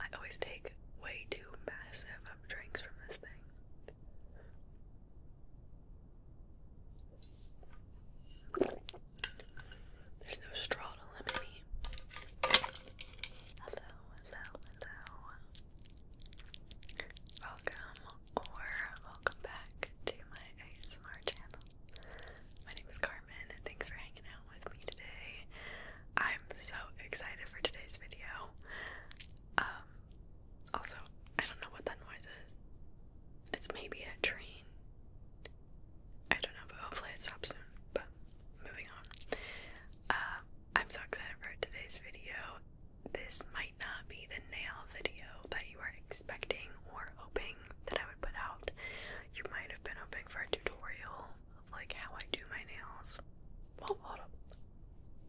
I always take way too massive of drinks from this thing. There's no straw to limit me. Hello, hello, hello. Welcome or welcome back to my ASMR channel. My name is Carmen, thanks for hanging out with me today. I'm so excited for today's video. Um, also, I don't know what that noise is. It's maybe a train. I don't know, but hopefully it stops soon. But moving on. Uh, I'm so excited for today's video. This might not be the nail video that you are expecting or hoping that I would put out. You might have been hoping for a tutorial of like how I do my nails. hold up.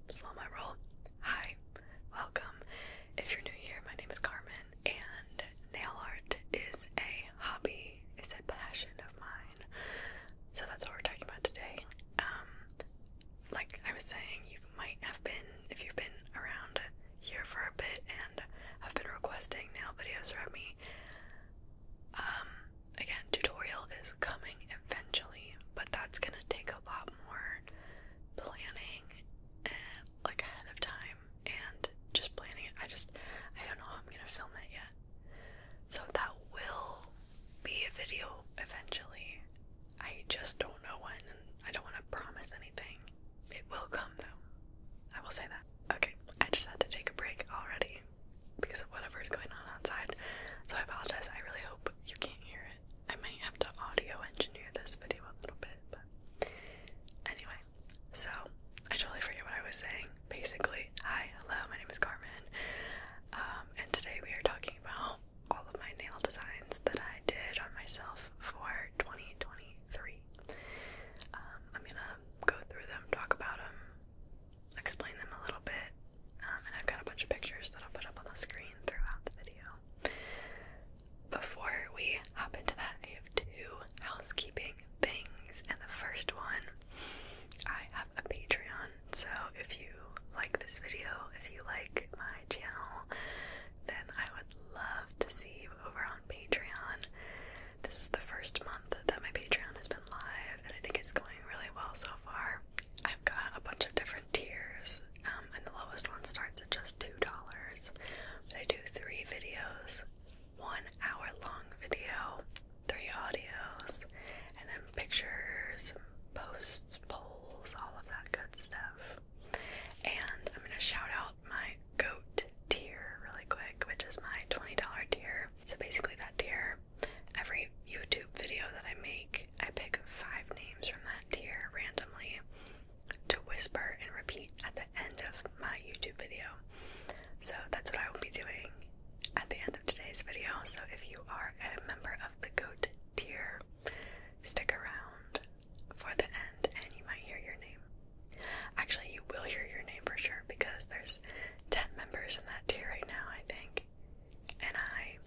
Slow my roll. Hi, welcome. If you're new here, my name is Carmen, and nail art is a hobby, it's a passion of mine. So that's what we're talking about today. Um, like I was saying, you might have been, if you've been around here for a bit i have been requesting nail videos from me. Um, again, tutorial is coming eventually, but that's gonna take a lot more planning and like ahead of time and just planning it. I just I don't know I'm gonna film it yet. So that will be a video eventually. I just don't know when and I don't want to promise anything. It will come though. I will say that. Okay, I just had to take a break already because of whatever is going on outside. So I apologize. I really hope you can't hear it. I might have to audio engineer this video a little bit, but anyway. So I totally forget what I was saying. Basically, hi, hello, my name is Carmen. Um, and today we are talking about all of my nail designs that I did on myself for 2023. Um, I'm gonna go through them, talk about them, explain them a little bit, um, and I've got a bunch of pictures that I'll put up on the screen throughout the video. Before we hop into that, I have two housekeeping things, and the first one I have a Patreon, so if you like this video, if you like my channel, then I would love to see you over on Patreon. This is the first month that my Patreon has been live, and I think it's going really well so far. I've got a bunch of different tiers, um, and the lowest one starts at just $2. But I do three videos, one hour long video, three audios, and then pictures, posts, polls, all of that good stuff. And I'm going to shout out my goat tier really quick, which is my $20 tier. So basically, that tier, every YouTube video that I make, I pick five names from that tier randomly to whisper and repeat at the end of my YouTube video. So that's what I will be doing at the end of today's video. So if you are a member of the GOAT tier, stick around for the end and you might hear your name. Actually, you will hear your name for sure because there's 10 members in that tier right now, I think. And I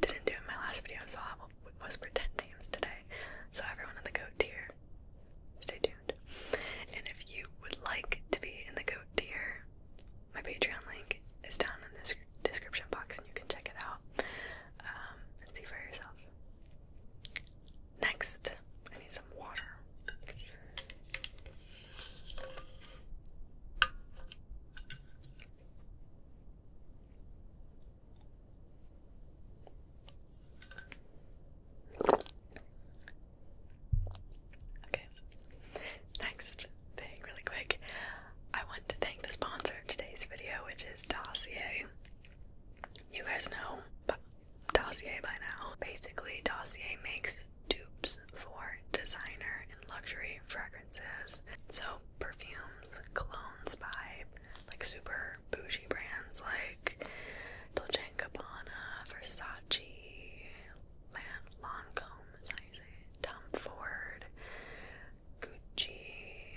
didn't do it in my last video, so I'll whisper 10 names today. So, everyone in the goat tier, stay tuned. And if you would like to be in the goat tier, my Patreon link is down in this description box and you can check it out um, and see for yourself. Next, I need some water. Okay. Next thing, really quick, I want to thank the sponsor of today's video, which is Dossier. You guys know, Dossier by now. Basically, Dossier makes dupes for designer and luxury fragrances. So, perfumes, clones by like super bougie brands like Dolce & Gabbana, Versace, Lancome, Tom Ford, Gucci,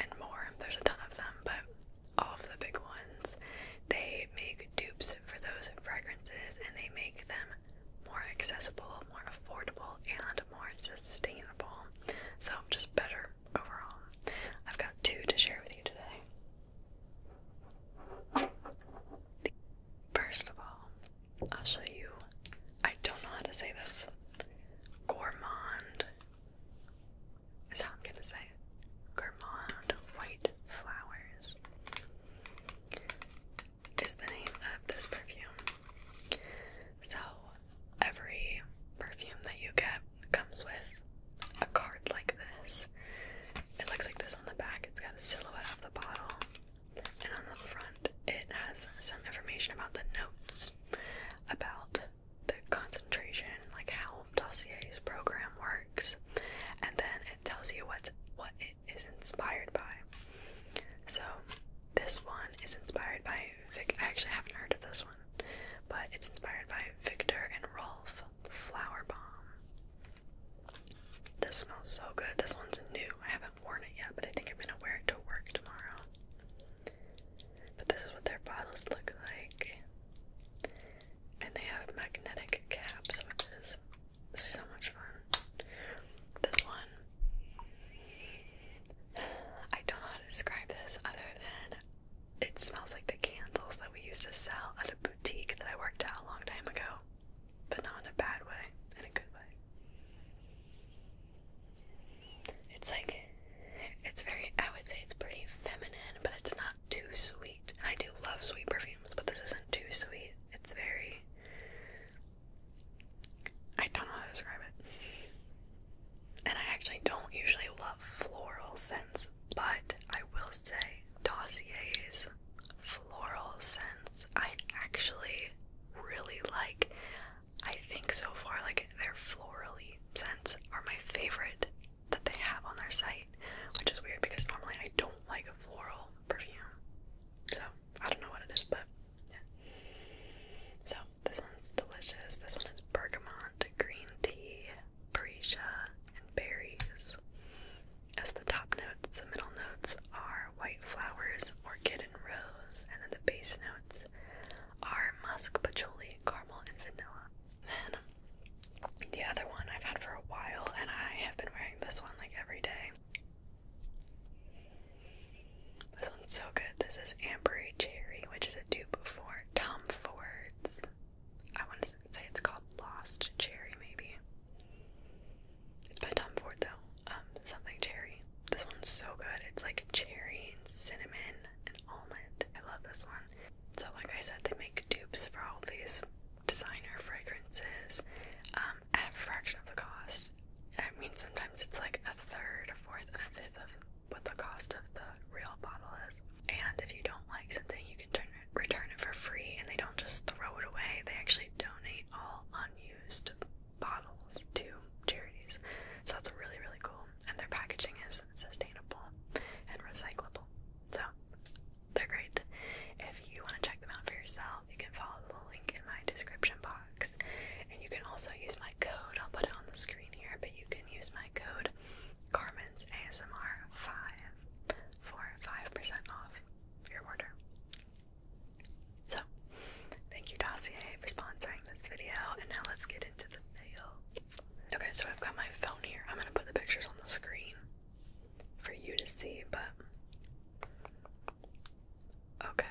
and more. There's a ton of them, but all of the big ones. They make dupes for those fragrances and they make them more accessible, more affordable, and more sustainable. So just better overall. I've got two to share with you today. First of all, I'll show you. I don't know how to say this. Gourmand is how I'm gonna say it. Gourmand White Flowers is the name of this perfume. So every perfume that you get comes with a card like this. It looks like this on the back. It's got a silhouette of the bottle. And on the front, it has some information about the notes, about the concentration, like how Dossier's program works, and then it tells you what's, what it is inspired by. So, this one is inspired by Vic. I actually haven't heard of this one, but it's inspired by Victor and Rolf Flower Bomb. This smells so good. This one's new. I haven't worn it yet, but I think I'm gonna wear it to work tomorrow. But this is what their bottles look like. And they have magnetic caps, which is so much fun. This one, I don't know how to describe this other than it smells like the candles that we used to sell at a boutique that I worked at a long time ago, but not in a bad way, in a good way. It's like, it's very, I would say it's pretty feminine, but it's not too sweet. I do love sweet perfumes, but this isn't too sweet. It's very. I don't know how to describe it. And I actually don't usually love floral scents, but I will say Dossier's floral scents I actually really like. I think so far, like, their florally scents are my favorite that they have on their site, which is weird because normally I don't like a floral perfume. So I don't know what it is, but yeah. So this one's delicious. This one is bergamot, green tea, freesia, and berries. As the top notes, the middle notes are white flowers, orchid and rose, and then the base notes are musk, patchouli, caramel, and vanilla. Then the other one I've had for a while, and I have been wearing this one like every day. This one's so good. This is Ambery Cherry, which is a dupe for Tom Ford's. I want to say it's called Lost Cherry, maybe. It's by Tom Ford though. Um, something cherry. This one's so good. It's like cherry, cinnamon, and almond. I love this one. So, like I said, they make dupes for all these designer fragrances um, at a fraction of the cost. I mean, sometimes it's like a third, a fourth, a fifth of what the cost of the real bottle is. And if you don't like something, you can turn it, return it for free, and they don't just throw it away. They actually donate all unused bottles to charities. So that's really, really cool. And their packaging is sustainable and recyclable. So they're great. If you want to check them out for yourself, you can follow the link in my description box. And you can also use my code. I'll put it on the screen here, but you can use my code Carmen's ASMR 5 for 5% off your order. So, thank you, Dossier, for sponsoring this video. And now let's get into the video. Okay, so I've got my phone here. I'm gonna put the pictures on the screen for you to see, but okay.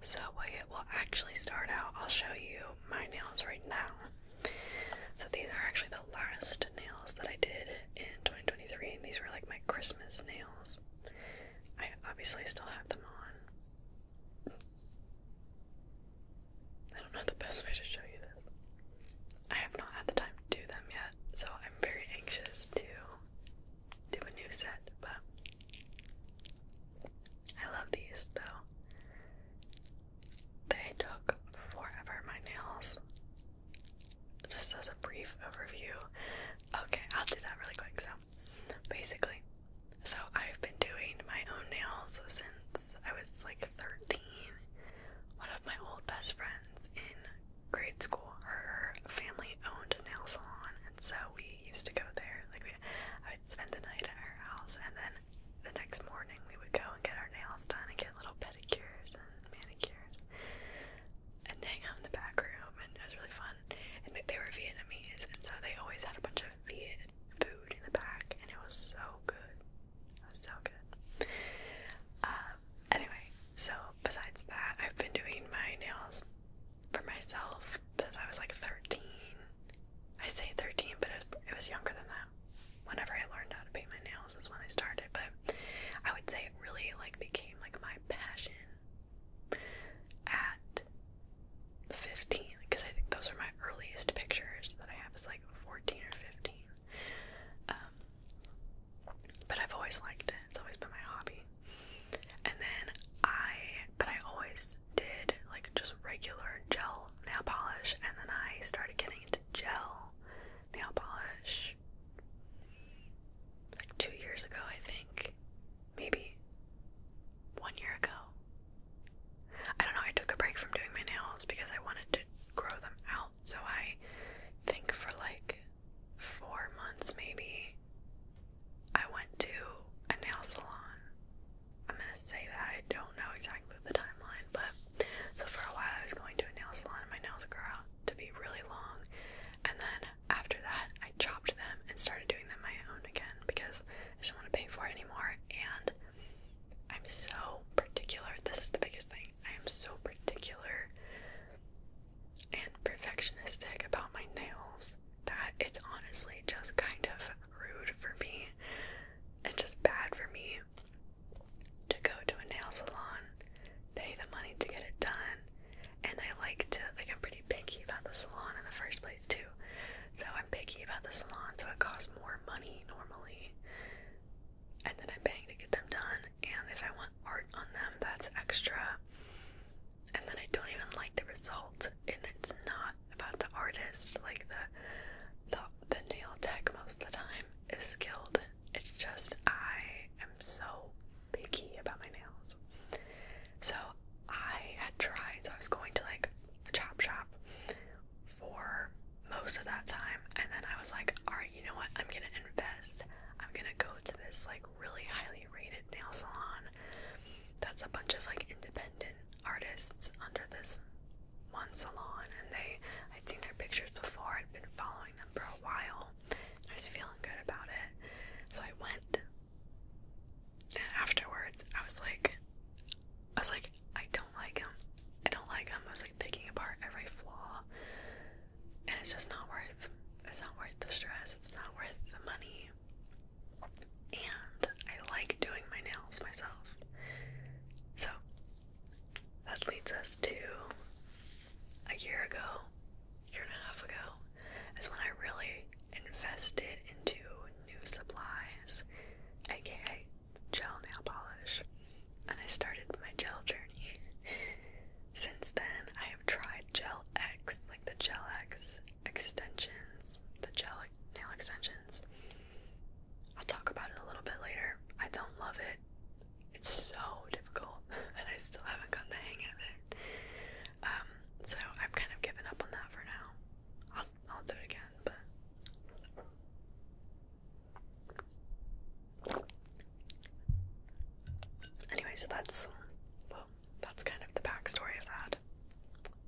So well, it will actually start out. I'll show you my nails right now. So these are actually the last nails that I did in 2023, these were like my Christmas nails. I obviously still have them on. I don't know the best way to show you this. I have not had the time to do them yet, so I'm very anxious to do a new set, but I love these though. They took forever, my nails. Just as a brief overview. Okay, I'll do that really quick. So, basically, so I've been doing my own nails since was I was like 13. One of my old best friends in grade school, her family owned a nail salon, and so we used to go there. Like we, I would spend the night at her house, and then the next morning we would go and get our nails done and get little pedicures and manicures, and hang out in the back room, and it was really fun. And they, they were Vietnamese, and so they always had a bunch Viet food in the back, and it was so good. so good. Um, anyway, so besides that, I've been doing my nails for myself since I was like 13. I say 13, but it was, younger than that. Whenever I learned how to paint my nails is when I started, but I would say it really like became like my passion at 15 because I think those are my earliest pictures that I have is like. 14 or 15. Um, but I've always liked it. It's always been my hobby. And then I, but I always did like just regular gel nail polish, and then I started getting into gel nail polish like two years ago, I think. Maybe one year ago. I don't know, I took a break from doing my nails because I wanted to grow them out. So I think for like four months maybe, I went to a nail salon. I'm gonna say that I don't know exactly the timeline, but so for a while I was going to a nail salon and my nails grew out to be really long. And then after that, I chopped them and started doing them my own again because I didn't want to pay for it anymore. And I'm so particular. This is the biggest thing. I am so particular and perfectionistic about my nails that it's honestly just kind of rude for me and just bad for me to go to a nail salon, pay the money to get it done, and I like to, like, I'm pretty picky about the salon in the first place, too. So I'm picky about the salon, so it costs more money normally, and then I'm paying to get them done. And if I want art on them, that's extra. And then I don't even like the result, and it's not about the artist. Like the the the nail tech most of the time is skilled. It's just I am so picky about my nails. So I had tried, so I was going to like a chop shop for most of that time and then I was like, alright, you know what, I'm gonna invest. I'm gonna go to this like really highly rated nail salon that's a bunch of like independent artists under this one salon and they I'd seen their pictures before, I'd been following them for a while. I was feeling good about it. So I went and afterwards I was like I was like I don't like him. I don't like him. I was like picking apart every flaw. And it's just not worth it's not worth the stress. It's not worth the money. And I like doing my nails myself. So that leads us to a year ago, year and a half ago, is when I really invested into new supplies, aka gel nail polish, and I started my gel journey. Since then, I have tried Gel X, like the Gel X extensions, the gel nail extensions. I'll talk about it a little bit later. I don't love it. It's so difficult, and I still haven't gotten the hang of it. Um, so I've kind of given up on that for now. I'll do it again, but anyway, so that's that's kind of the backstory of that.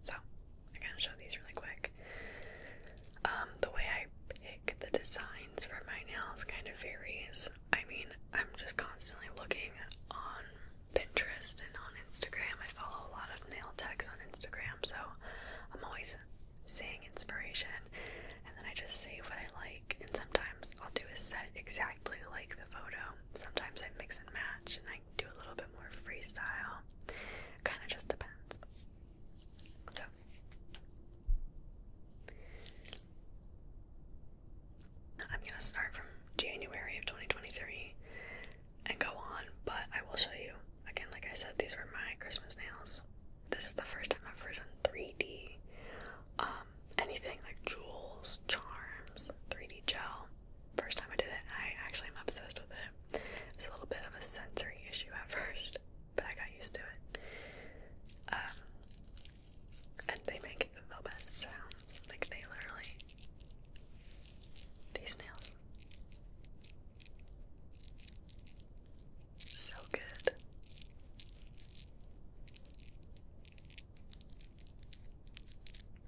So I'm gonna show these really quick. Um, the way I pick the designs for my nails kind of varies. I mean, I'm just constantly looking on Pinterest and on Instagram. I follow a lot of nail techs on Instagram so I'm always seeing inspiration and then I just save what I like. And sometimes I'll do a set exactly like the photo. Sometimes I mix and match and I do a little bit more freestyle. Kind of just depends. So. I'm going to start from January of 2023 and go on, but I will show you. Again, like I said, these were my Christmas nails. This is the first time I've ever done 3D. Um, anything like jewels, charms, 3D gel. First time I did it, I actually am obsessed with it. It's a little bit of a sensory issue at first, but I got used to it. Um, and they make the best sounds. Like they literally, these nails so good.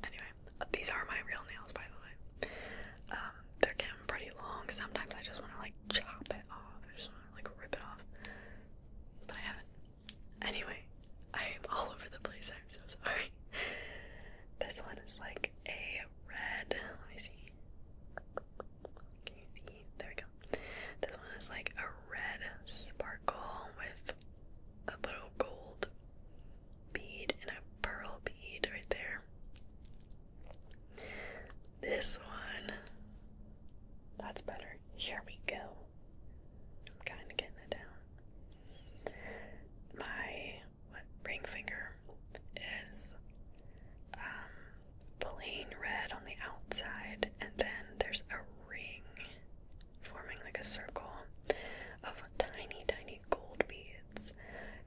Anyway, these are my real nails, by the way. Um, they're getting pretty long. Sometimes I just want to like chop it off. I just want to like rip it off, but I haven't. Anyway, I am all over the place. I'm so sorry. This one is like a red. Let me see. Can you see? There we go. This one is like a red sparkle with a little gold bead and a pearl bead right there. This one, that's better. Here we go. I'm kind of getting it down. My what, ring finger is um, plain red on the outside, and then there's a ring forming like a circle of tiny, tiny gold beads.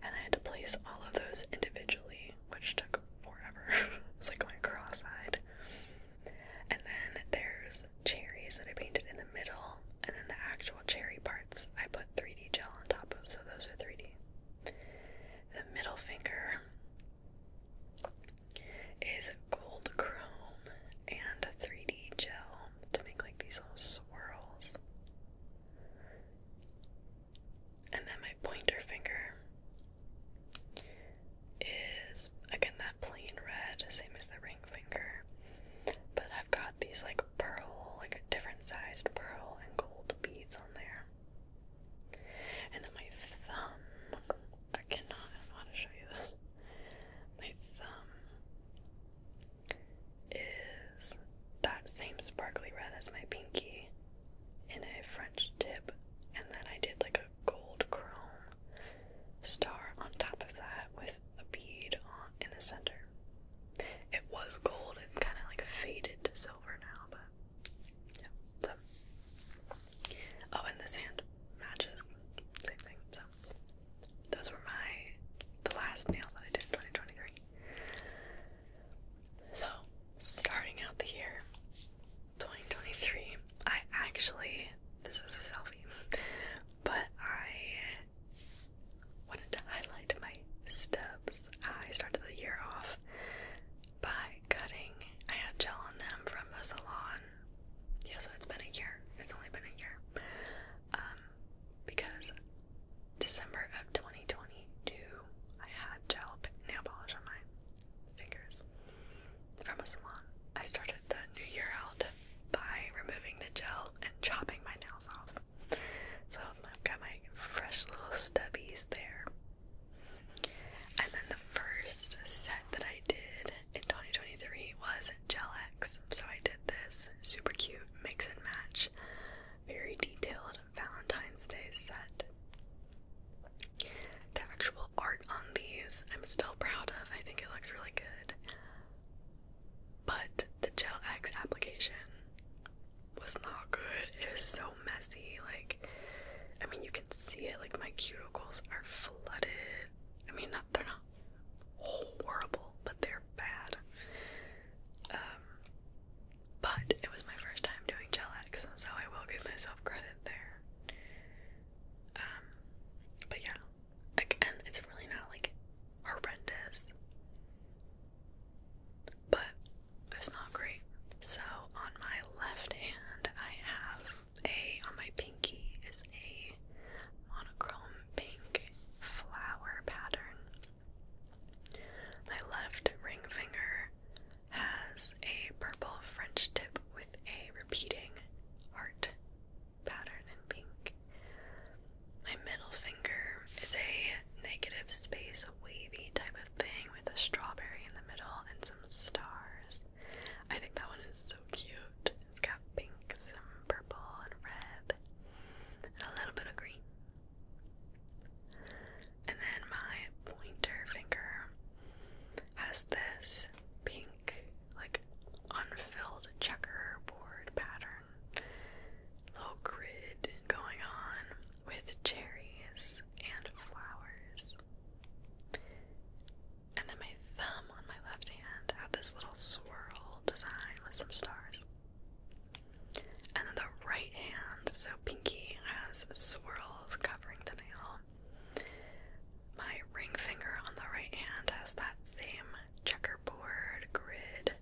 And I had to place all of those individually, which took forever. it's like going cross eyed. And then there's cherries that I painted in the middle, and then the actual cherry parts I put 3D gel on top of, so those are 3D. The middle finger is gold chrome and 3D gel to make like these little swirls. And then my pointer finger is again that plain red, same as the ring finger. But I've got these like pearl, like a different sized pearl and gold beads on there. And then my thumb, I cannot, I do to show you this. My thumb is that same sparkly red as my pinky in a French tip, and then I did like a gold chrome star on top of that with a bead in the center. It was gold and kind of like faded to silver now, but yeah. So, oh, and this hand matches, same thing. So, those were my the last nails that I did in 2023. So, starting out the year 2023, I actually this is a selfie, but I wanted to highlight my stubs. I started the year off by cutting. I had gel on them from the salon. Yeah, so it's been a year. It's only been a year. Um, because December of 2022, I had gel nail polish on my fingers from a salon. I started the new year out by removing the gel and chopping my nails off. So I've got my fresh little stubbies there. And then the first set that I did in 2023 was Gel X. So I did this super cute mix and match, very detailed Valentine's Day set. The actual art on these I'm still proud of. I think it looks really good. But the Gel X application was not good. It was so messy. Like, I mean, you can see it. Like, my cuticles are flooded. I mean, not they're not horrible, but they're bad. Um, but it was my first time doing gel X, so I will give myself credit there. Um, but yeah, again, it's really not like horrendous. But is not great. So on my left hand, I have a, on my pinky is a monochrome pink flower pattern. My left ring finger has a purple French tip with a repeating heart pattern in pink. My middle finger is a negative space wavy type of thing with a strawberry in the middle and some stars. I think that one is so cute. It's got pink, some purple, and red, and a little bit of green. And then my pointer finger has this pink, like unfilled checkerboard pattern, little grid going on with cherries and flowers. And then my thumb on my left hand had this little swirl design with some stars. And then the right hand, so pinky, has swirls covering the nail. My ring finger on the right hand has that same checkerboard grid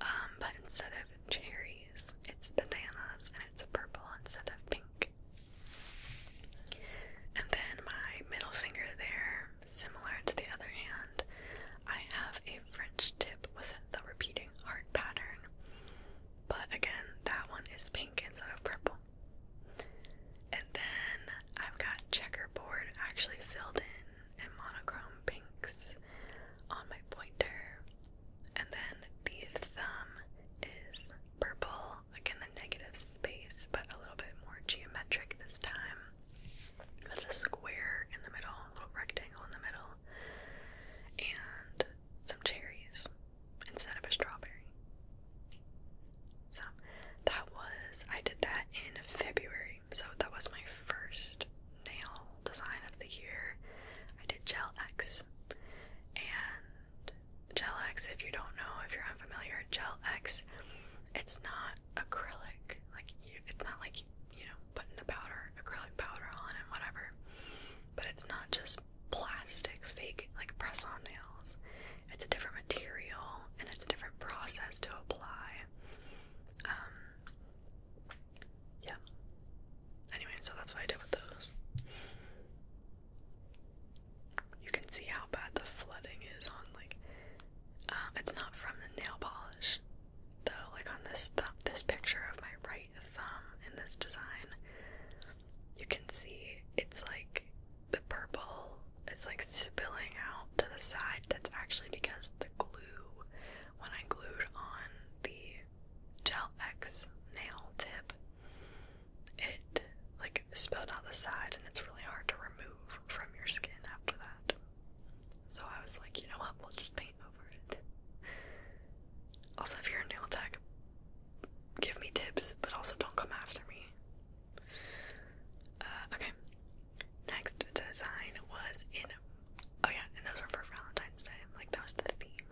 um, but instead of cherries, it's bananas and it's purple instead of pink. And then my middle finger there, similar to the other hand, I have a French tip with the repeating heart pattern. But again, that one is pink instead of purple. And then I've got checkerboard actually filled in and monochrome pinks on my pointer. And then the thumb is purple, in the negative space, but a little bit more geometric this time. With a square in the middle, a little rectangle in the middle, and some cherries instead of a strawberry. So that was, I did that in February, so that was my first nail design of the year. I did Gel X. And Gel X, if you don't know, if you're unfamiliar, Gel X, it's not acrylic. Like, you, it's not like, you know, putting the powder, acrylic powder on and whatever. But it's not just plastic, fake, like press on nails. It's a different material and it's a different process to apply. Um, yeah. Anyway, so that's what I did with those. You can see how bad the flooding is on like uh, it's not from the nail polish though. Like on this th this picture of my right thumb in this design, you can see it's like the purple is like spilling out to the side. That's actually because the glue when I glued on the Gel X nail tip, it like spilled out the side, and it's really hard to remove from your skin after that. So I was like, you know what, we'll just paint over it. Also, if you're a nail tech, give me tips, but also don't come after me. Uh, okay. Next design was in Oh yeah, and those were for Valentine's Day. Like that was the theme.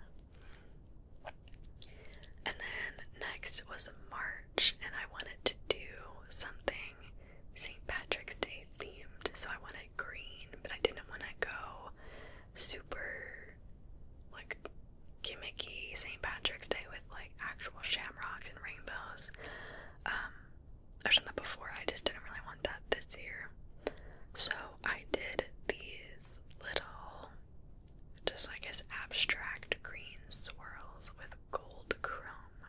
And then next was March, and I wanted to do something St. Patrick's Day themed. So I wanted green, but I didn't want to go super like gimmicky St. Patrick's Day with like actual shamrocks and rainbows. Um, I've done that before. I just didn't really want that this year. So I did these little, just I guess, abstract green swirls with gold chrome.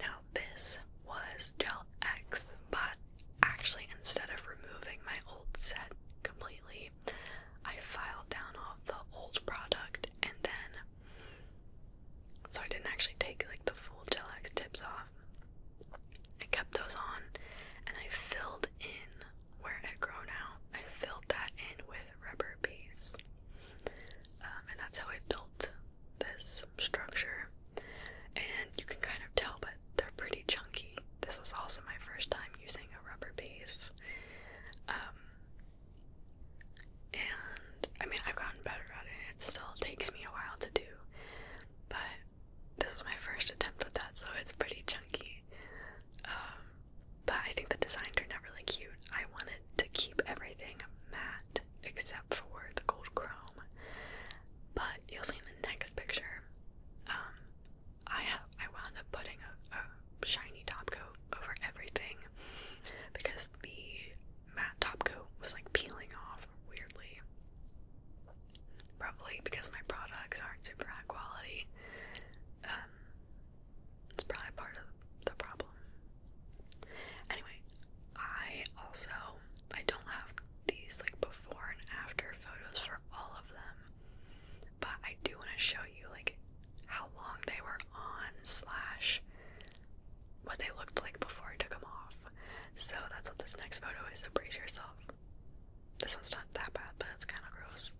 Now, this was Gel X, but actually, instead of removing my old set completely, I filed down off the old product and then. So I didn't actually take like the full Gel X tips off. I kept those on and I filled in where it had grown out. I filled that in with rubber base, um, and that's how I built this structure. And you can kind of tell, but they're pretty chunky. This was also my first time using a rubber base. Um, and I mean, I've gotten better at it. It still takes me a while to do, but this is my first attempt with that, so it's pretty chunky. Um, but I think the design turned out really cute. I wanted to keep everything matte except for the gold chrome. But you'll see in the next picture, um, I have I wound up putting a shiny top coat over everything because the matte top coat was like peeling off weirdly. Probably because my products aren't super high quality. Um, it's probably part of the problem. Anyway, I also I don't have these like before and after photos for all of them, but I do want to show you like how long they were on slash what they looked like before I took them off. So that's what this next photo is, so brace yourself. This one's not that bad, but it's kind of gross.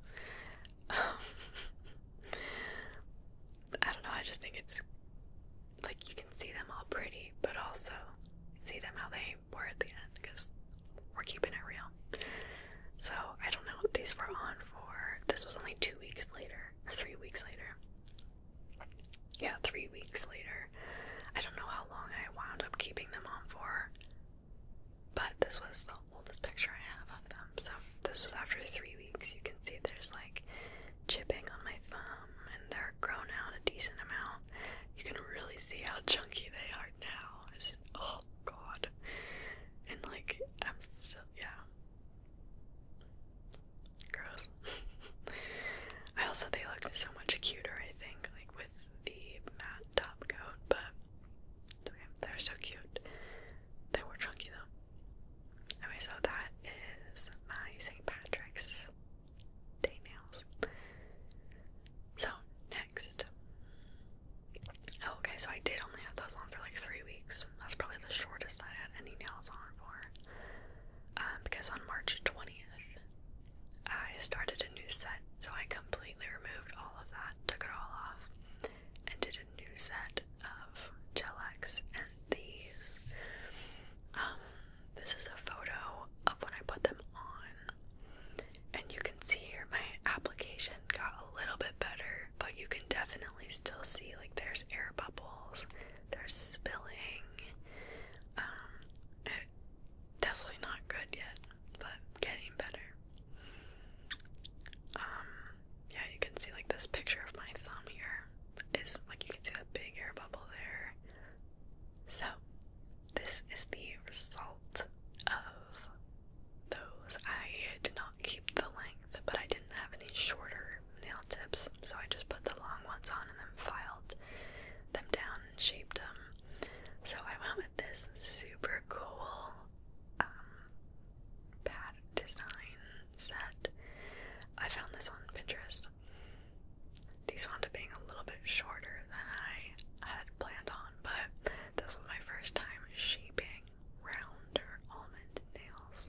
I don't know, I just think it's like you can see them all pretty, but also see them how they were at the end because we're keeping it real. So I don't know what these were on for. This was only two weeks later, or three weeks later yeah, three weeks later. I don't know how long I wound up keeping them on for, but this was the oldest picture I have of them. So this was after three weeks. You can see there's like chipping on my thumb, and they're grown out a decent amount. You can really see how chunky they are now. oh god. And like, I'm still, yeah. Gross. I also they look so much cuter, I think, like with the matte top coat, but they're so cute. They were chunky though. Anyway, so that is my St. Patrick's Day nails. So next. Oh, okay, so I did only have those on for like three weeks. That's probably the shortest I had any nails on for. Um, because on March 20th, I started a new set. So I completely removed all of that, took it all off, and did a new set of Gelex and these. Um, this is a photo of when I put them on, and you can see here my application got a little bit better, but you can definitely still see like there's air bubbles, there's spilling. Um, definitely not good yet, but getting better. Um, yeah, you can see like this picture of my thumb here is like you can see that big air bubble there. So, this is the result of those. I did not keep the length, but I didn't have any shorter nail tips, so I just put the long ones on and then filed them down and shaped them. So I went with this super cool um, pad design set. I found this on Pinterest. These wound up being a little bit shorter than I had planned on, but this was my first time shaping round or almond nails.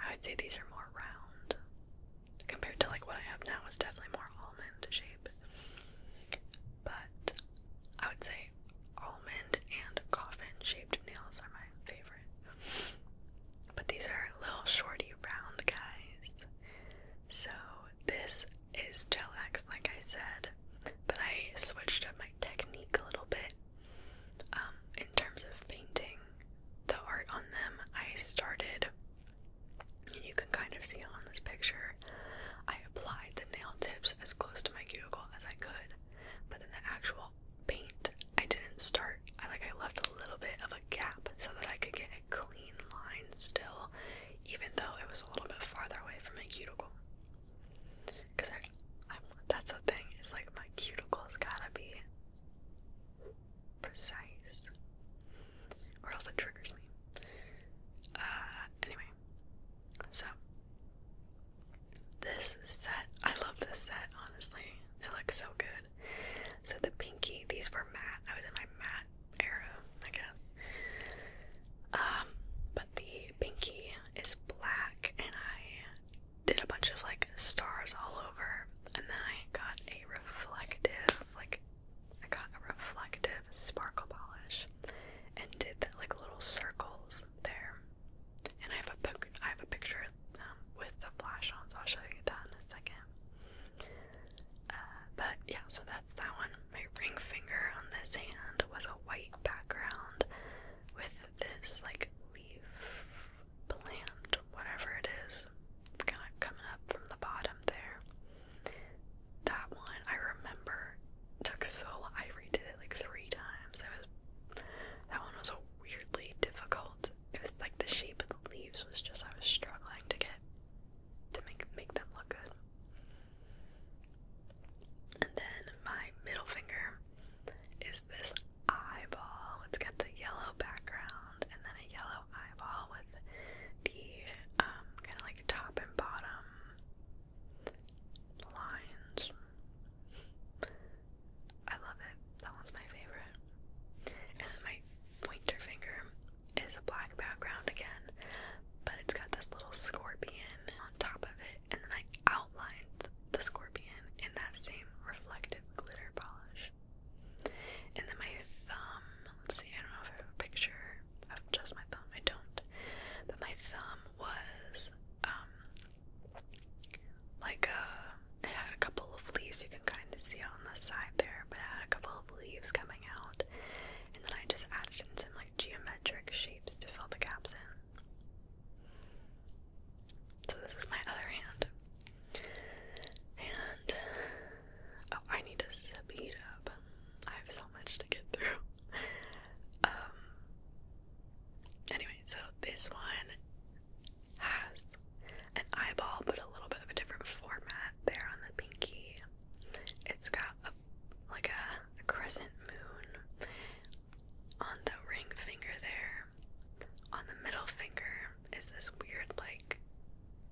I would say these are more round compared to like what I have now it's definitely more almond shape. But I would say almond and coffin shaped nails are my favorite. But these are little shorty round guys. So this is gel X like I said, but I switched up my technique a little bit. Um, in terms of painting the art on them, I started and you can kind of see on this picture. I applied the nail tips as close to my cuticle as I could, but then the actual paint, I didn't start. I like I left a little bit of a gap so that I could get a clean line still, even though it was a little bit farther away from my cuticle. Cause that's the thing. It's like my cuticle's gotta be precise, or else it triggers me. Uh, anyway, so this set, I love this set, honestly. It looks so good. So the pinky, these were matte. I was in my matte era, I guess. Um, but the pinky is black, and I did a bunch of like stars all over, and then I got a reflective like I got a reflective sparkle polish and did that like little circles there. And I have a pic I have a picture um, with the flash on, so I'll show you that in a second. Uh, but yeah, so that's that one. My ring finger on this hand was a white background with this like leaf plant, whatever it is, kind of coming up from the bottom there. That one I remember took so I redid it like three times. I was that one was weirdly difficult. It was like the shape of the leaves was just I was struggling to get to make make them look good. And then my middle finger is this eyeball. It's got the yellow background and then a yellow eyeball with the um, kind of like top and bottom lines. I love it. That one's my favorite. And then my pointer finger is a black background again, but it's got this little scorpion on top of it, and then I outlined the scorpion in that same reflective glitter polish. And then my thumb, let's see, I don't know if I have a picture of just my thumb, I don't. But my thumb was um like a uh, it had a couple of leaves you can kind of see on the side there, but it had a couple of leaves coming out. And then I just added in some like geometric shapes to fill the gaps in. So this is my other hand. And uh, oh, I need to speed up. I have so much to get through. Um. Anyway, so this one has an eyeball, but a little bit of a different format there on the pinky. It's got a like a, a crescent moon on the ring finger there. On the middle finger is this weird like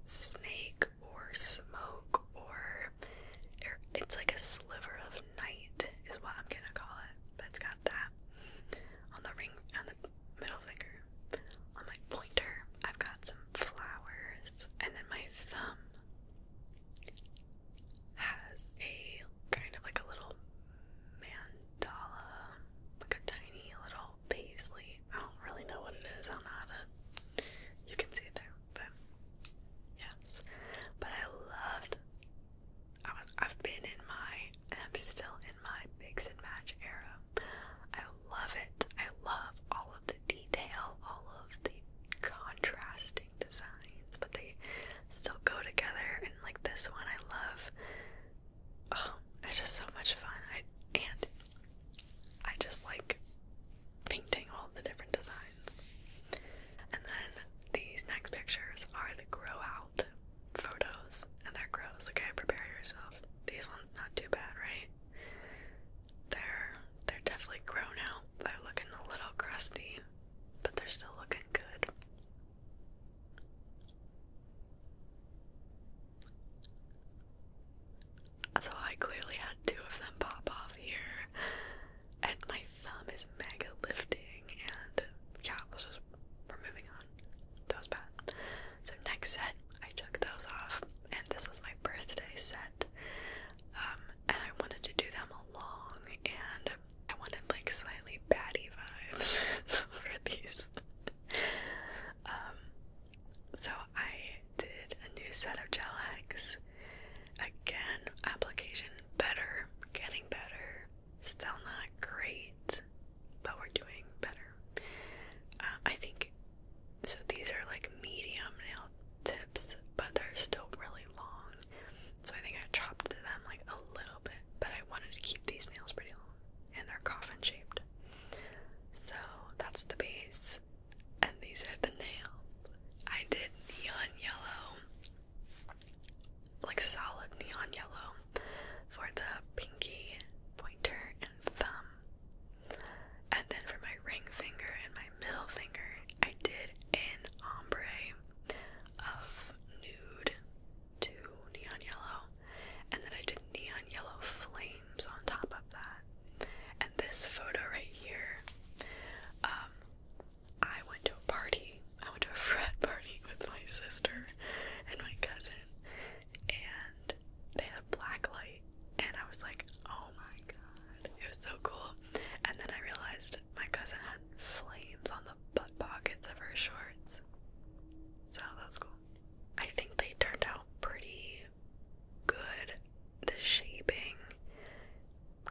snake or smoke or it's like a sliver of night is what I'm gonna call it. But it's got that on the ring on the middle finger. On my pointer, I've got some flowers, and then my thumb has a kind of like a little mandala, like a tiny little called I don't really know what it is. I don't know how to. You can see it there, but yes. But I loved. I was. I've been in my, I'm still in my mix and match era. I love it. I love all of the detail, all of the contrasting designs, but they still go together. And like this one, I love. Oh, it's just so much fun. I and I just like painting all the different designs. And then these next pictures are the grow out photos, and they're gross. Okay, prepare yourself. These ones not too bad, right? They're they're definitely grown out. They're looking a little crusty, but they're still looking good. So I clearly had two of them pop off here. And my thumb is mega lifting, and yeah, let's just, we're moving on. That was bad. So, next set, I took those off, and this was my birthday set. Um, and I wanted to do them along, and I wanted like slightly batty vibes for these. Um, so I did a new set of gel nails. Again, application better, getting better. Still not great, but we're doing better. Uh, I think so. These are like medium nail tips, but they're still really long. So I think I chopped them like a little bit, but I wanted to keep these nails pretty long and they're coffin shaped. So that's the base, and these are the nails. I did neon yellow, like solid neon yellow, for the pinky, pointer, and thumb. And then for my ring finger and my middle finger, I did an ombre of nude to neon yellow, and then I did neon yellow flame on top of that. And this photo right here, um, I went to a party. I went to a friend party with my sister and my cousin, and they had black light, and I was like, oh my god, it was so cool. And then I realized my cousin had flames on the butt pockets of her shorts, so that was cool. I think they turned out pretty good. The shaping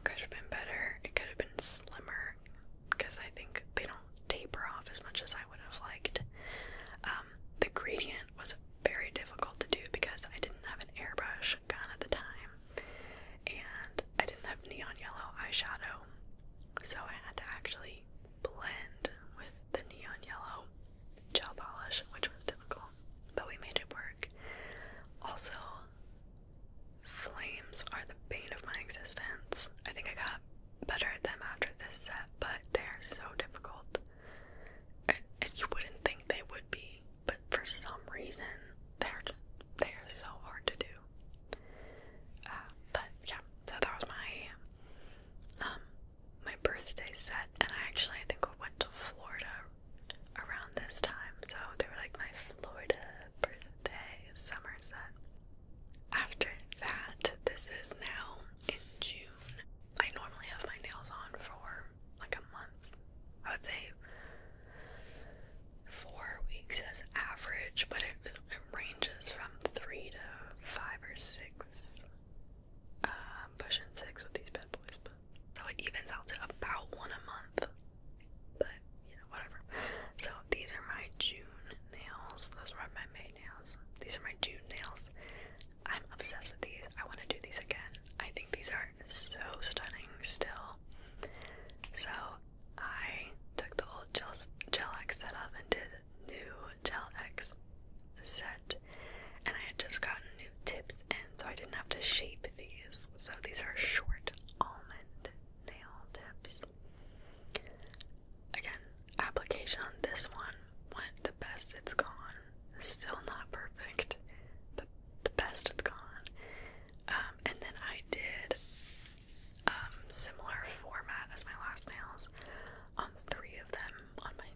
could have been better. It could have been slimmer because I think they don't taper off as much as I would have liked. Um, the gradient was very difficult to do because I didn't have an airbrush gun at the time and I didn't have neon yellow eyeshadow, so I had to actually blend with the neon yellow gel polish, which was difficult, but we made it work. Also, flames are the bane of my existence. I think I got better at them after this set, but they are so difficult. And, you wouldn't think they would be, but for some reason, they're just they are so hard to do. Uh, but yeah, so that was my um, my birthday set, and I actually I think I went to Florida around this time, so they were like my Florida birthday summer set. After that, this is now in June. I normally have my nails on for like a month. I would say four weeks as average, but it, it ranges from three to five or six I'm pushing six with these bad boys, but so it evens out to about one a month. But you know, whatever. So these are my June nails. Those were my May nails. These are my June nails. I'm obsessed with these. I want to do these again. I think these are so stunning still. So I took the old gel, gel X setup and did new Gel X set, and I had just gotten new tips in, so I didn't have to shape these. So these are short almond nail tips. Again, application on this one went the best it's gone. Still not perfect, but the best it's gone. Um, and then I did um, similar format as my last nails on three of them, on my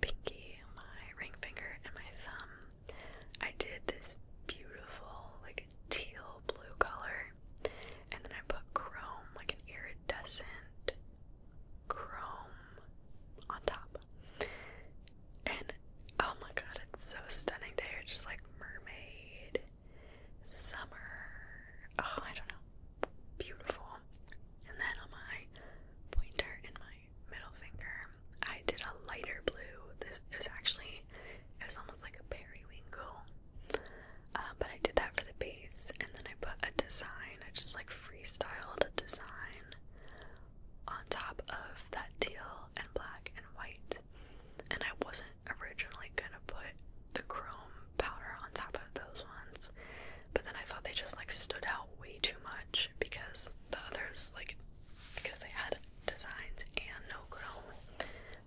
pinky, my ring finger, and my thumb. I did this beautiful, like teal blue color, and then I put chrome, like an iridescent chrome, on top. And oh my god, it's so stunning. They are just like mermaid, summer. Oh, I don't know. Beautiful. And then on my pointer and my middle finger. I did a lighter blue. This, it was actually, it was almost like a periwinkle. Uh, but I did that for the base, and then I put a design. I just like freestyled a design on top of that teal and black and white. And I wasn't originally gonna put the chrome powder on top of those ones, but then I thought they just like stood out way too much because the others, like, because they had designs and no chrome.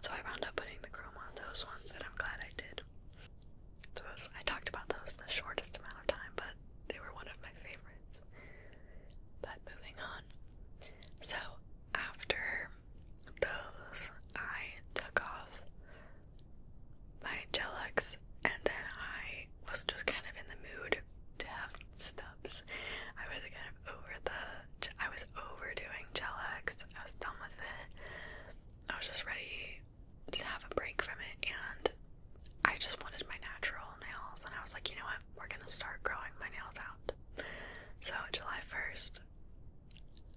So I wound up putting the chrome on those ones, and I'm glad I did. Those I talked about those the shortest amount of time, but they were one of my favorites. But moving on. So after those, I took off by Gelux, and then I was just kind of in the mood to have stubs. I was kind of over the, I was overdoing Gelux. I was done with it. I was just ready to have a break from it, and I just wanted my natural nails. And I was like, you know what? We're gonna start growing my nails out. So July first,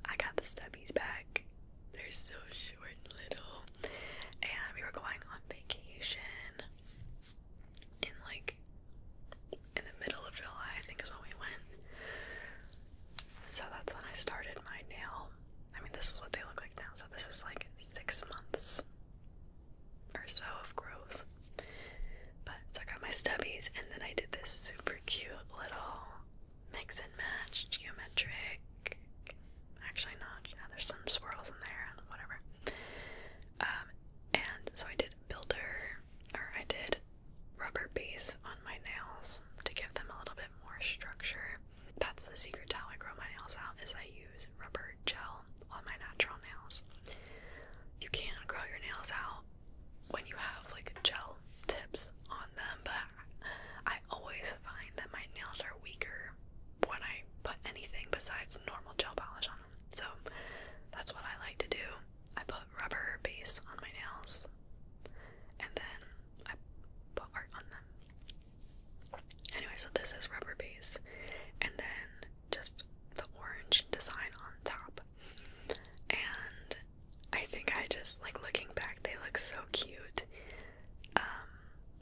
I got the stubbies back. They're so short and little, and we were going on vacation in like in the middle of July, I think is when we went. So that's when I started my nail. I mean, this is what they look like now, so this is like six months or so of growth. But so I got my stubbies, and then I did this super cute little mix and match geometric Actually, not. Yeah, there's some swirls in there and whatever. Um, and so I did builder, or I did rubber base on my nails to give them a little bit more structure. That's the secret how I grow my nails out is I use rubber gel on my natural nails. You can grow your nails out when you have like gel tips on them, but I always find that my nails are weaker when I put anything besides normal gel polish on them. So that's what I like to do. I put rubber base on my nails and then I put art on them. Anyway, so this is rubber base and then just the orange design on top. And I think I just like looking back, they look so cute. Um,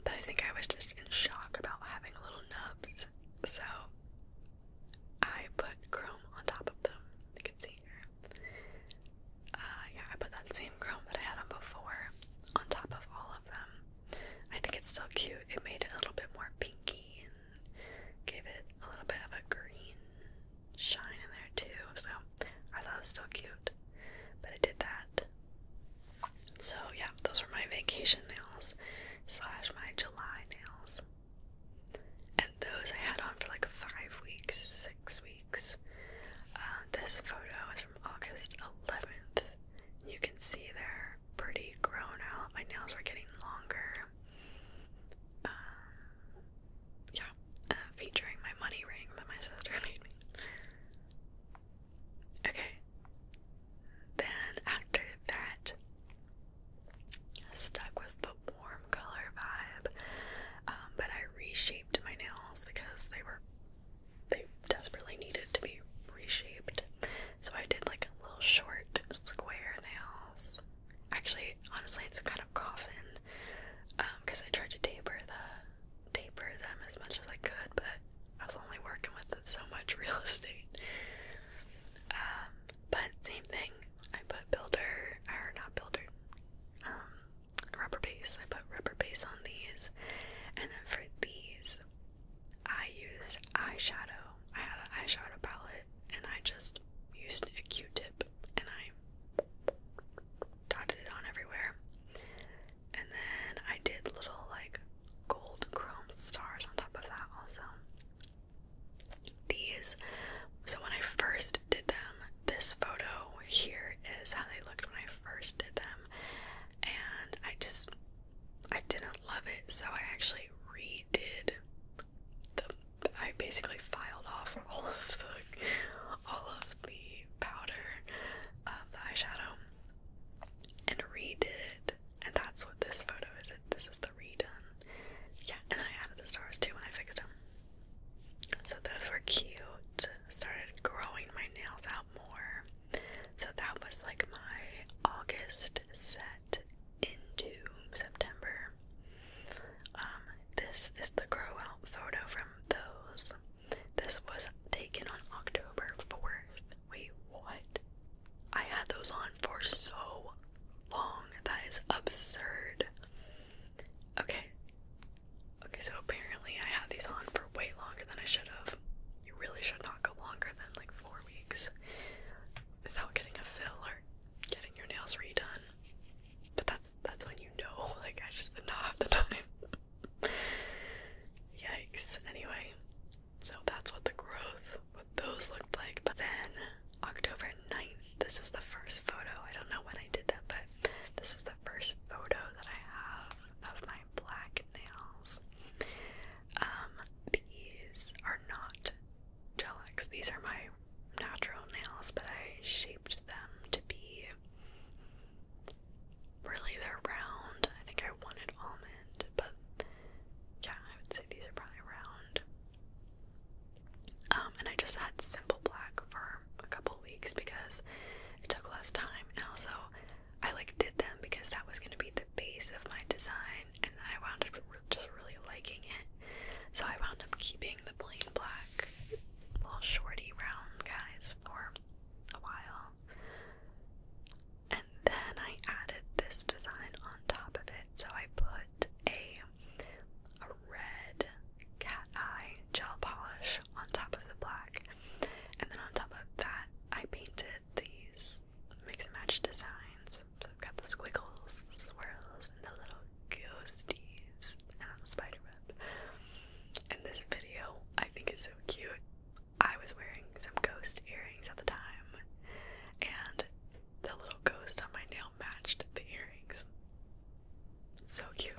but I think I was just in shock about having little nubs, so I put chrome on top of them. You can see here. Uh, yeah, I put that same chrome that I had on before on top of all of them. I think it's so cute. It made it a little bit more pinky and gave it a little bit of a green shine in there too. So I thought it was so cute but I did that. So yeah, those were my vacation nails slash my July nails. And those I had on for like five weeks, six weeks. Uh, this photo is from August 11th. You can see they're pretty grown out. My nails are getting longer. Um, yeah, uh, featuring my money ring that my sister made me. Okay. Then after that, stuck with the warm color vibe, um, but I reshaped my nails because they were they desperately needed to be reshaped. So I did like little short square nails. Actually, honestly, it's kind of coffin because um, I tried to taper the taper them as much as I could, but I was only working with so much real estate. Um, but same thing. I put builder, or not builder, um, rubber base. I put rubber base on these, and then for these, I used eyeshadow. I had an eyeshadow palette, and I just used a Q-tip, and I dotted it on everywhere. And then I did little like gold chrome stars on top of that also. These, so when I first did them, this photo here is how they looked when I first did them. And I just, I didn't love it, so I actually redid the, I basically filed off all of the, all of the powder of uh, the eyeshadow and redid it. And that's what this photo is. This is the redone. Yeah, and then I added the stars too when I fixed them. So those were cute. Started growing my nails out more. So that was like my August set into September. Um, this is the grow out photo from those. This was taken on October 4th. Wait, what? I had those on for so long. That is absurd. Okay. Okay, so apparently I had these on for way longer than I should have. You really should not go longer than like four weeks without getting a fill or getting your nails redone. But that's that's when you know, like I just did not have the time. Yikes. Anyway, so that's what the growth, what those looked like. But then October 9th, this is the first photo. I don't know when I did that, but this is the first photo that I have of my black nails. Um, these are not Gelix. These are my natural nails, but I shaped them to be really they're round. I think I wanted almond, but yeah, I would say these are probably round. Um, and I just had simple black for a couple weeks because it took less time, and also I like did them because that was going to be the base of my design, and then I wound up just really liking it, so I wound up keeping the plain black little shorty round guys for a while, and then I added this design on top of it. So I put a a red cat eye gel polish on top of the black. And then on top of that I painted these mix and match designs. So I've got the squiggles, swirls, and the little ghosties and the spider And this video I think is so cute. I was wearing some ghost earrings at the time, and the little ghost on my nail matched the earrings. So cute.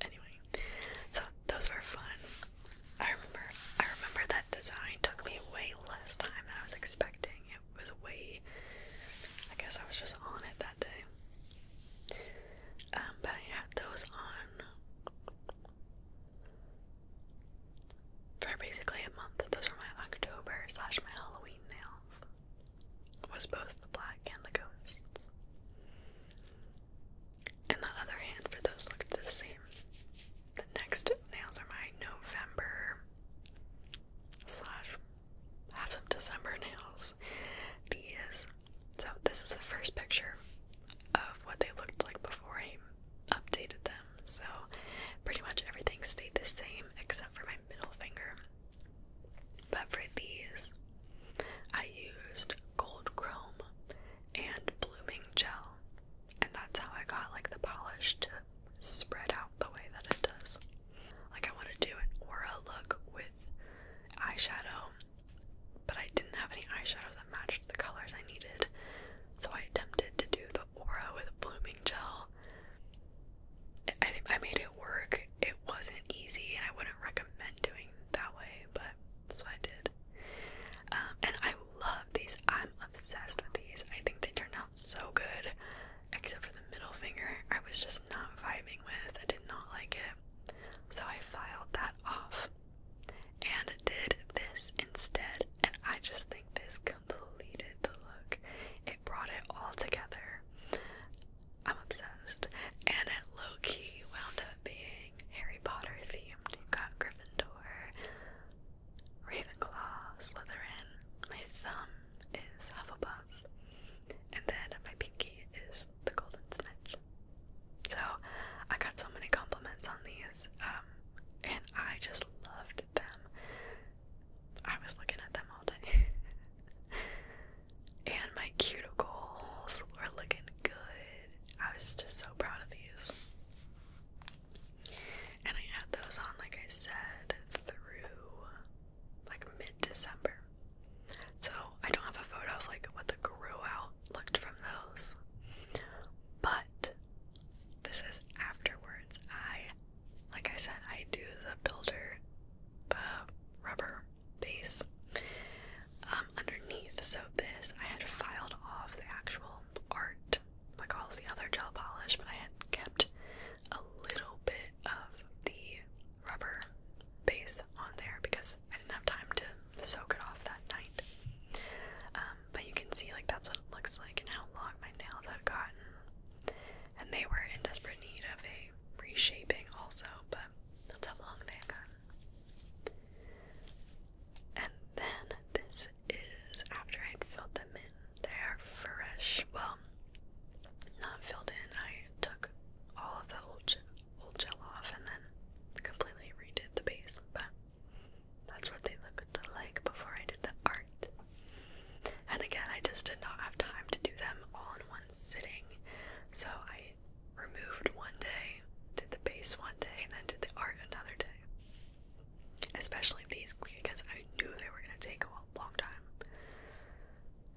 Anyway, so those were fun. I remember I remember that design took me way less time than I was expecting. It was way I guess I was just on it that day. Um, but I had those on for basically a month. Those were my October slash my Halloween nails. Was both the black and the ghosts. And the other hand for those looked the same. The next nails are my November slash half of December nails. These so this is the first picture of what they looked like before I updated them. So pretty much everything stayed the same except for my middle finger. But for these, I used gold chrome and blooming gel, and that's how I got like the polish to spread out the way that it does. Like I want to do an aura look with eyeshadow but I didn't have any eyeshadows that matched the colors I needed, so I attempted to do the aura with a blooming gel. I think I made it work. It wasn't easy, and I wouldn't recommend doing that way, but that's what I did. Um, and I love these. I'm obsessed with these. I think they turned out so good, except for the middle finger. I was just not vibing with. I did not like it. So I filed that off and did this instead. And I just think this completed the look. It brought it all together. I'm obsessed. And it low key wound up being Harry Potter themed. You got Gryffindor, Ravenclaw, Slytherin. My thumb is Hufflepuff. And then my pinky is the golden snitch. So I got so many compliments on these, um, and I just loved them. I was looking at them all day. and my cuticles were looking good. I was just so proud of these. And I had those on, like I said, through like mid December. So I don't have a photo of like what the grew out looked from those. But this is afterwards. I, like I said, I do the builder, the rubber base um, underneath. So this, I had filed off the actual art, like all the other gel polish, but I had kept a little bit of the rubber base on there because I didn't have time to soak it off that night. Um, but you can see like that's what it looks like and how long my nails had gotten. And they were in desperate need of a reshaping also, but that's how long they had gotten. And then this is after I'd filled them in. They are fresh. Well, not filled in. I took all of the old will gel off and then completely redid the base, but that's what they looked like before I did the art. And again, I just did not have time to do them all in one sitting, so I removed one day, did the base one day, and then did the art another day. Especially these because I knew they were gonna take a long time.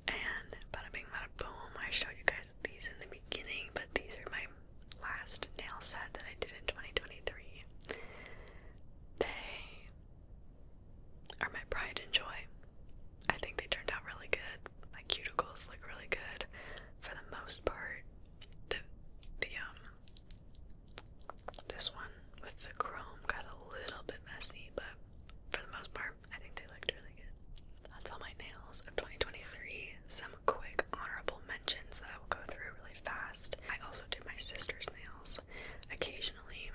And bada bing, bada boom, I showed you guys these in the beginning, but these are my last nail set that I did in 2023. They are my pride and joy. I think they turned out really good. My cuticles look really good for the most part. The the um this one with the chrome got a little bit messy, but for the most part, I think they looked really good. That's all my nails of 2023. Some quick honorable mentions that I will go through really fast. I also do my sister's nails occasionally.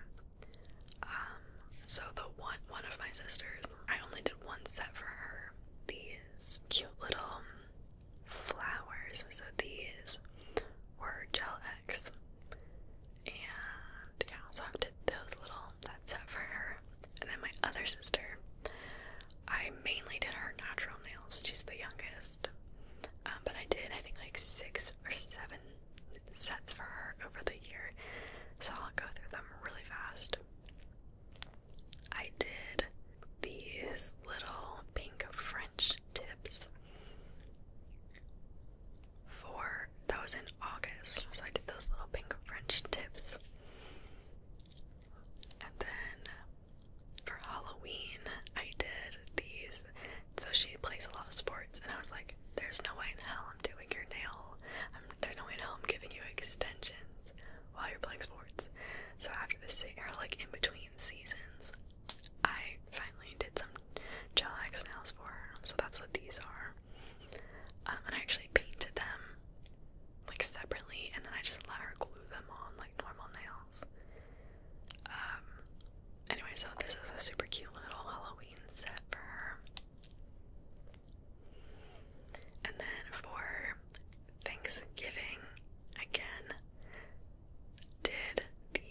Um, so the one one of my sisters, I only did one set for her. These cute little um, flowers. So these were Gel X. And yeah, so I did those little set for her. And then my other sister, I mainly did her natural nails. She's the youngest. Um, but I did, I think, like six or seven sets for her over the year. So I'll go through them really fast. I did these little pink French tips for that was in August. So I did those little pink French tips. And then for Halloween, I did these. So she plays a lot of sports, and I was like, "There's no way in hell I'm doing your nail. I'm, there's no way in hell I'm giving you extensions while you're playing sports." So after this or like in between seasons, I finally did some gel X nails for her. So that's what these are. Um, and I actually painted them like separately, and then I just let her glue them on like normal nails. Um, anyway, so this is a super cute little Halloween set for her. And then for Thanksgiving, again, did the.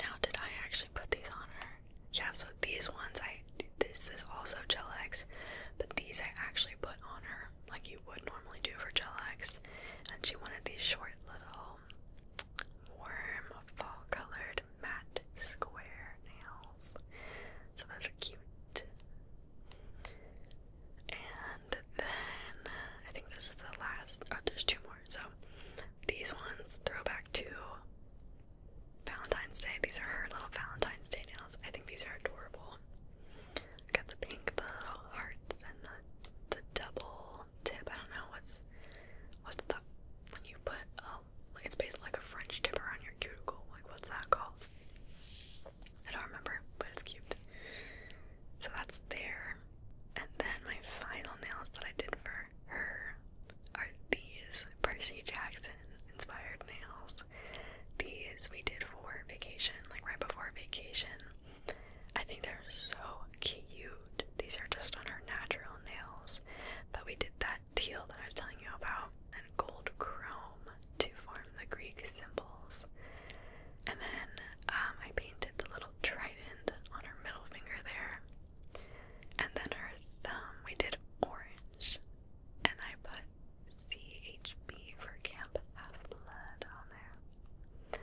Now, did I actually put these on her? Yeah, so these ones I this is also gel X, but these I actually put on her like you would normally do for gel X, and she wanted these short little warm fall colored matte square nails. So those are cute. And then I think this is the last. Oh, there's two more. So these ones throw back to Valentine's Day. These are her little Valentine's Day nails. I think these are adorable. got the pink, the little hearts, and the the double tip. I don't know what's what's the you put a it's basically like a French tip around your cuticle. Like what's that called? I don't remember, but it's cute. So that's there. And then my final nails that I did for her are these Percy Jackson inspired nails. These we did for vacation, like right before vacation. I think they're so cute. These are just on our natural nails, but we did that teal that I was telling you about, and gold chrome to form the Greek symbols. And then um, I painted the little trident on her middle finger there, and then her thumb. We did orange and I put CHB for Camp Half Blood on there.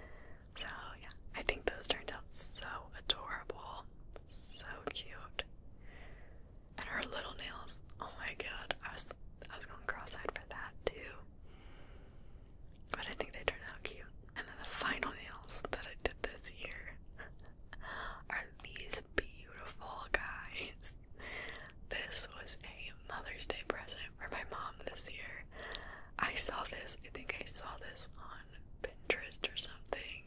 So, yeah, I think those turned out so adorable, so cute. And her little nails, oh my god, I was, I was going cross eyed for that too. But I think they turned out cute. And then the final nails that I did this year are these beautiful guys. This was a Mother's Day present for my mom this year. I saw this, I think I saw this on Pinterest or something,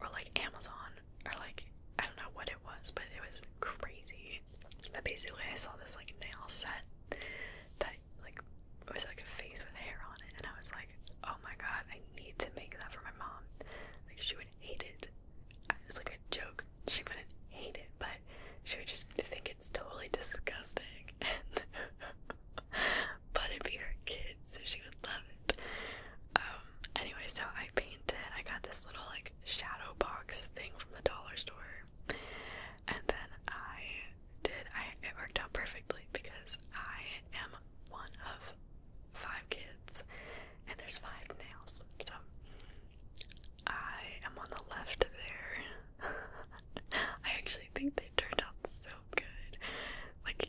or like Amazon, or like I don't know what it was, but it was crazy. But basically, I saw this like nail set that like it was like a face with hair on it, and I was like, oh my god, I need to make that for my mom. Like she would hate it it's like a joke. She wouldn't hate it, but she would just think it's totally disgusting. And but it'd be her kids, so she would love it. Um, anyway, so I painted. I got this little like shadow box thing from the dollar store, and then I did. I it worked out perfectly because I am one of five kids, and there's five nails. So I am on the left there. I actually think they turned out so good. Like,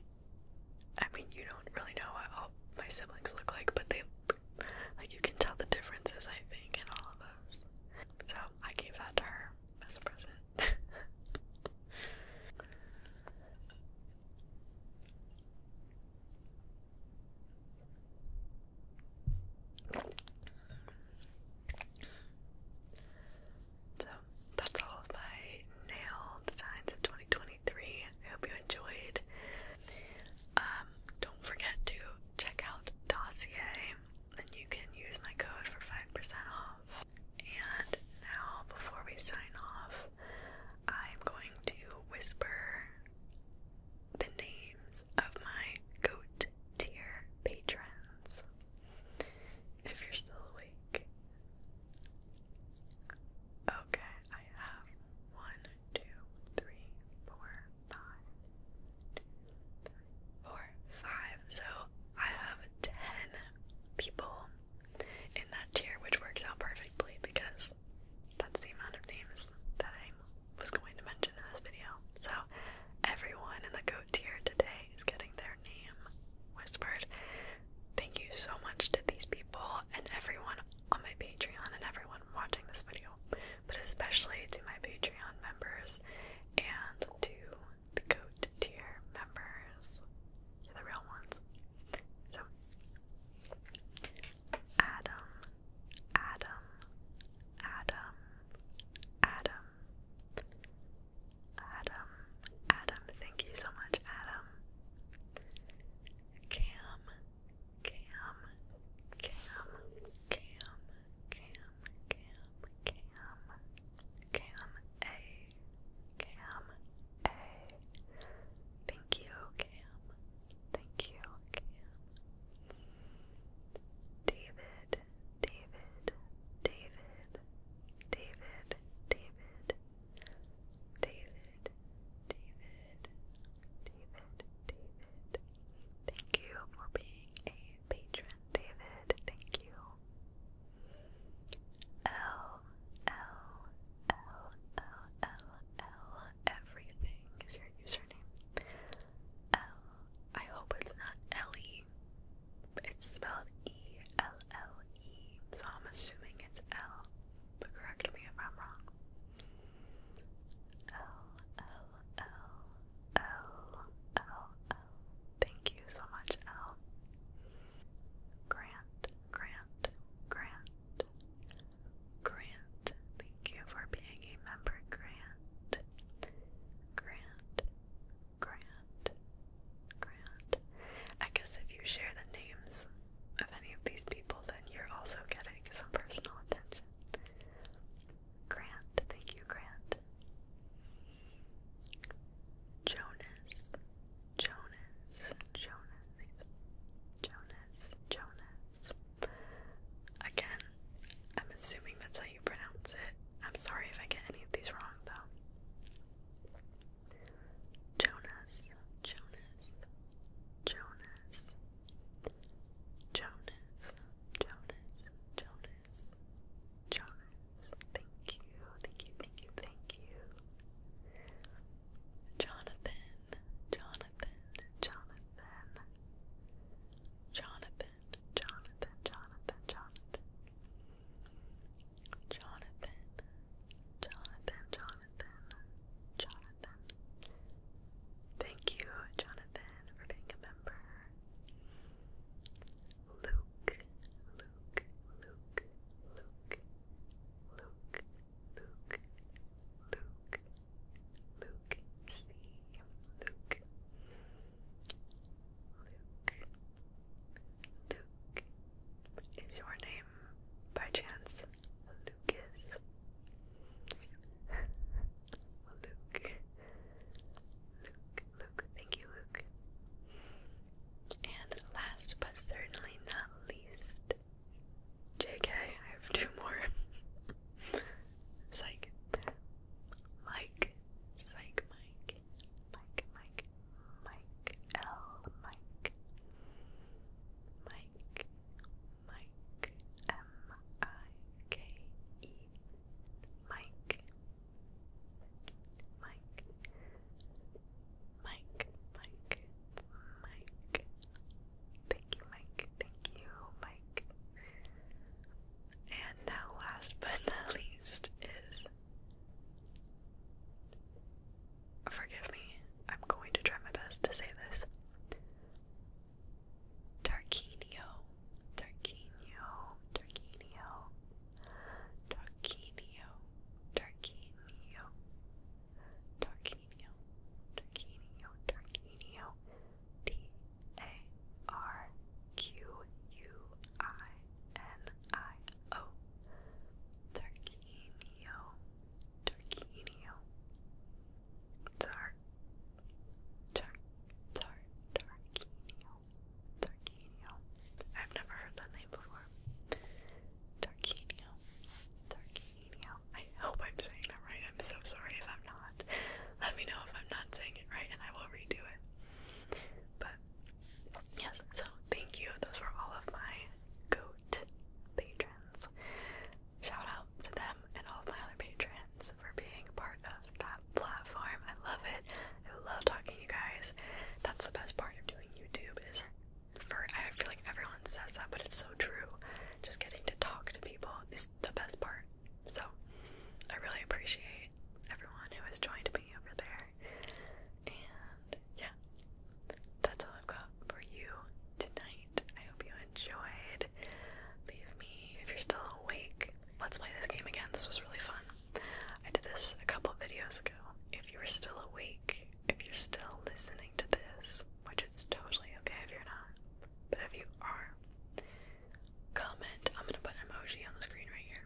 I mean, you don't really know what all my siblings look like, but they, like, you can tell the differences, I think, in all of us. So I gave that to her as a present. So that's all of my nail designs of 2023. I hope you enjoyed. Um, don't forget to check out Dossier, and you can use my code for 5% off. And now, before we sign off, I'm going to whisper the names of my goat tier patrons. If you're still awake. Okay, I have one, two, three, four, five, two, three, four, five. So I have ten people in that tier, which works out perfectly because that's the amount of names that I was going to mention in this video. So everyone in the goat tier today is getting their name whispered. Thank you so much to these people and everyone on my Patreon and everyone watching this video, but especially to my Patreon members and to the goat tier members, the real ones. So Adam, Adam, Adam, Adam, Adam, Adam. Thank you so much, Adam. Cam, Cam, Cam, Cam, Cam, Cam, Cam, Cam, A, Cam, A. Thank you, Cam. Thank you, Cam. David, David, David, David, David, David, David, David, David. Thank you for being a patron, David. Thank you. L L L L L L everything is your username. L. I hope it's not Ellie. It's spelled E L L E, so I'm assuming it's L. But correct me if I'm wrong. L L L L L L. Thank you so much, L. Grant, Grant, Grant, Grant, thank you for being a member, Grant. Grant, Grant, Grant. I guess if you share the names of any of these people, then you're also getting some personal attention. Grant, thank you, Grant. Jonas, Jonas, Jonas, Jonas, Jonas. Again, I'm assuming that's how you pronounce it. I'm sorry if I get any of these wrong though. Jonas, Jonas, Jonas, Jonas, Jonas, Jonas, Jonas. Thank you, thank you, thank you, thank you. Jonathan, Jonathan, Jonathan, Jonathan, Jonathan, Jonathan, Jonathan, Jonathan, Jonathan, Jonathan, Jonathan. Thank you, Jonathan, for being a member. Luke, Luke, Luke, Luke, Luke, Luke, Luke, Luke, see Luke, Luke, Luke. Is your name by chance Lucas? Luke, Luke, Luke. Thank you, Luke. And last but certainly not least, JK, I have two more. Psych. Mike. Mike. Mike Mike. Mike L Mike. Mike. Mike. M I K E. Mike. Mike. Mike, Mike, Mike. Thank you, Mike. Thank you, Mike. And now, last but not least, is. Forgive me, I'm going to try my best to say this. Tarquinio, Tarquinio, Tarquinio, Tarquinio, Tarquinio, Tarquinio, Tarquinio, Tarquinio, T A R Q U I N I O, Tarquinio, Tarquinio, Tar, Tar, Tar, Tarquinio, Tarquinio. I've never heard that name before. Tarquinio, Tarquinio. I hope I'm saying that right. I'm so sorry if I'm not. Let me know if I'm not saying it right and I will redo it. But yes, so thank you. Those were all of my goat patrons. Shout out to them and all of my other patrons for being part of that platform. I love it. I love talking to you guys. That's the best part of doing YouTube is I feel like everyone says that, but it's so true. Just getting to talk to people is the best part. So I really appreciate everyone who has joined me over there. And yeah, that's all I've got for you tonight. I hope you enjoyed. Leave me if you're still awake. Let's play this game again. This was really fun. I did this a couple videos ago. If you were still awake, if you're still listening to this, which it's totally okay if you're not, but if you are, comment. I'm gonna put an emoji on the screen right here.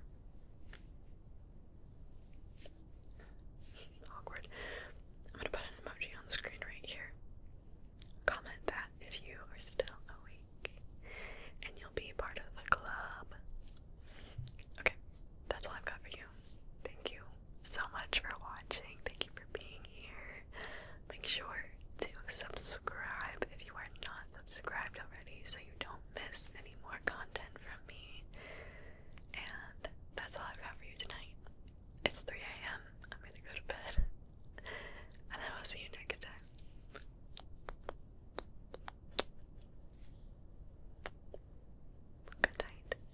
Awkward. I'm gonna put an emoji on the screen right here. Comment that if you are still awake, and you'll be part of the club. Okay, that's all I've got for you. Thank you so much for watching. Thank you for being here. Make sure to subscribe if you are not subscribed already so you don't miss any more content from me. And that's all I've got for you tonight. It's 3 a.m. I'm gonna go to bed. And I will see you next time. Good night.